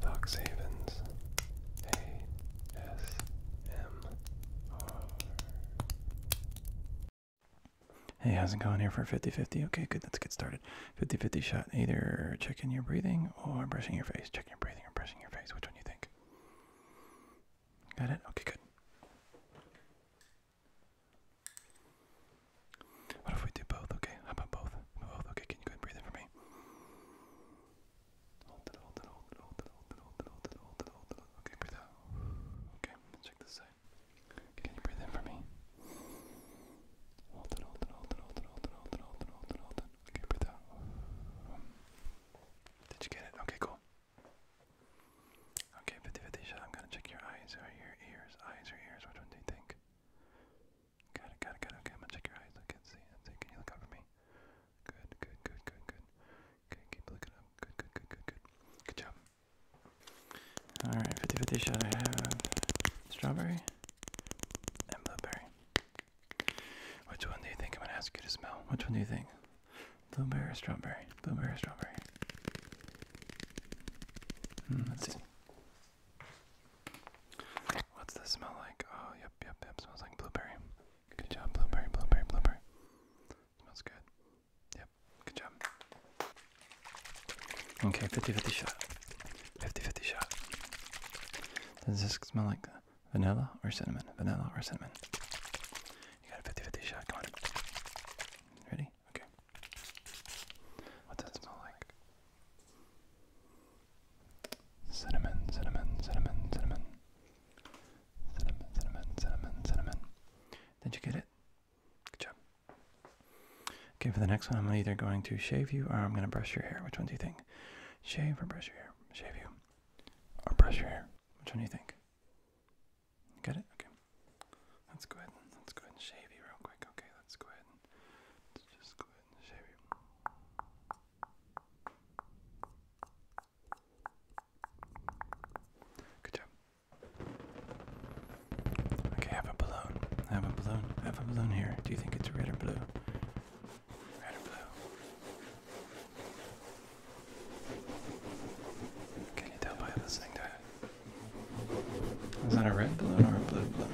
Doc Havens ASMR. Hey, how's it going here for 50 50? Okay, good, let's get started. 50 50 shot, either checking your breathing or brushing your face. Checking your breathing or brushing your face. Which one do you think? Got it? Okay, good. What if we do both? Okay, how about both? both? Okay, can you go and breathe in for me? Hold it, hold it, hold it, hold it, hold it, hold it, hold it, hold it, hold it. Okay, breathe out. Okay, check this side. Can you breathe in for me? Hold it, hold it, hold it, hold it, hold it, hold it, hold it, hold it, hold it. Okay, breathe out. Did you get it? Okay, cool. Okay, 50 50 I'm gonna check your eyes or your ears. Eyes or ears, which one do you think? Got it, got Okay, I'm gonna check your eyes. I can see. That's it. Can you look up for me? Good, good, good, good, good. Okay, keep looking up. Good, good, good, good, good. Good job. Alright, 50 50 shot. I have strawberry and blueberry. Which one do you think I'm gonna ask you to smell? Which one do you think? Blueberry strawberry? Blueberry strawberry? Hmm, let's see. What's this smell like? Oh, yep, yep, yep. Smells like blueberry. Good job, blueberry, blueberry, blueberry. Smells good. Yep, good job. Okay, 50 50 shot. 50 50 shot. Does this smell like vanilla or cinnamon? Vanilla or cinnamon? You got a 50 50 shot. Come on. Ready? Okay. What's that smell like? Cinnamon, cinnamon, cinnamon, cinnamon. Cinnamon, cinnamon, cinnamon, cinnamon. Did you get it? Good job. Okay, for the next one, I'm either going to shave you or I'm going to brush your hair. Which one do you think? Shave or brush your hair? Shave you or brush your hair? Which one do you think? Get it? Okay. Let's go ahead. Let's go ahead and shave you real quick. Okay, let's go ahead and let's just go Good job. Okay, I have a balloon. have a balloon. have a balloon here. Do you think it's red or blue? Red or blue? Can you tell by listening to it? Is that a red balloon or a blue balloon?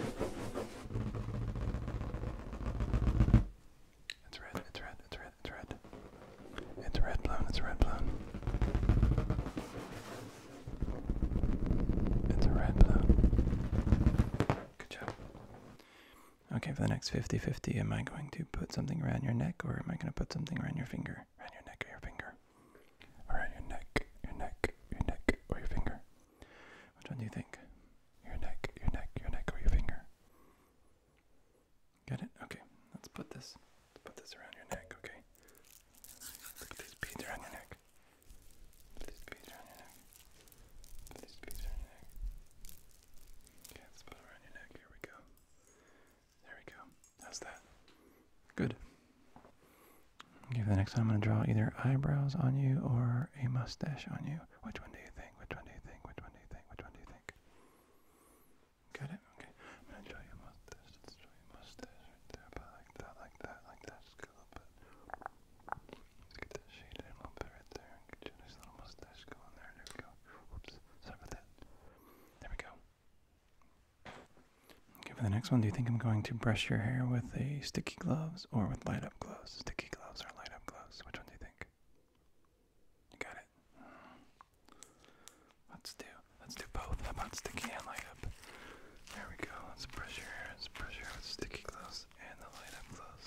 It's red, it's red, it's red, it's red. It's a red balloon, it's a red balloon. It's a red balloon. Good job. Okay, for the next 50 50, am I going to put something around your neck or am I going to put something around your finger? Around your neck or your finger? Around your neck, your neck, your neck, or your finger? Which one do you think? Your neck, your neck, your neck, or your finger? Get it? Okay. Let's put this. Let's put this around your neck. Okay. Look at these beads around your neck. these beads around your neck. these beads around your neck. Okay, let's put it around your neck. Here we go. There we go. How's that? Good. Okay, for the next time I'm going to draw either eyebrows on you or a mustache on you. Which one do you think? Which one do you think? Which one do you think? Which one do you think? Got it? Okay. I'm going to draw you a mustache. Let's draw you a mustache right there. But like that, like that, like that. Just go a little bit. Let's get that shade a little bit right there. get your nice little mustache going there. There we go. Whoops. Sorry about that. There we go. Okay, for the next one, do you think I'm going to brush your hair with a sticky gloves or with light up gloves? Sticky gloves or light up gloves? Which one do you think? You got it. Let's do let's do both. How about sticky and light up? There we go. Let's brush your hair. Let's brush your hair with sticky gloves and the light up gloves.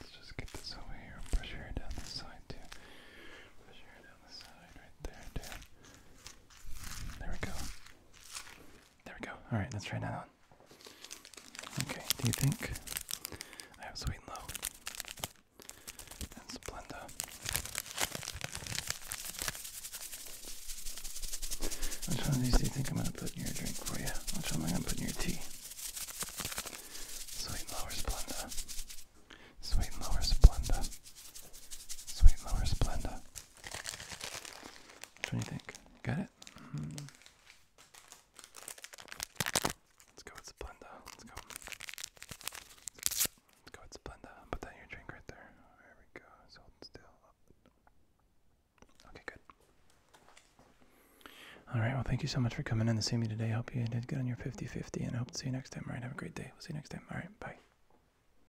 Let's just get this over here. Brush your hair down the side too. Brush your hair down the side right there too. There we go. There we go. All right, let's try that one. Okay, do you think I have Sweet and Low and Splenda? Which one of these do you think I'm going to put in your drink for you? Which one am I going to put in your tea? Sweet and Low or Splenda? Sweet and Low Splenda? Sweet and Low or Splenda? What do you think? Got it? Hmm. Let's go with Splenda. Let's go. Let's go with Splenda. Put that in your drink right there. There we go. hold still. Okay, good. Alright, well, thank you so much for coming in to see me today. hope you did good on your 50 50, and I hope to see you next time. Alright, have a great day. We'll see you next time. Alright, bye.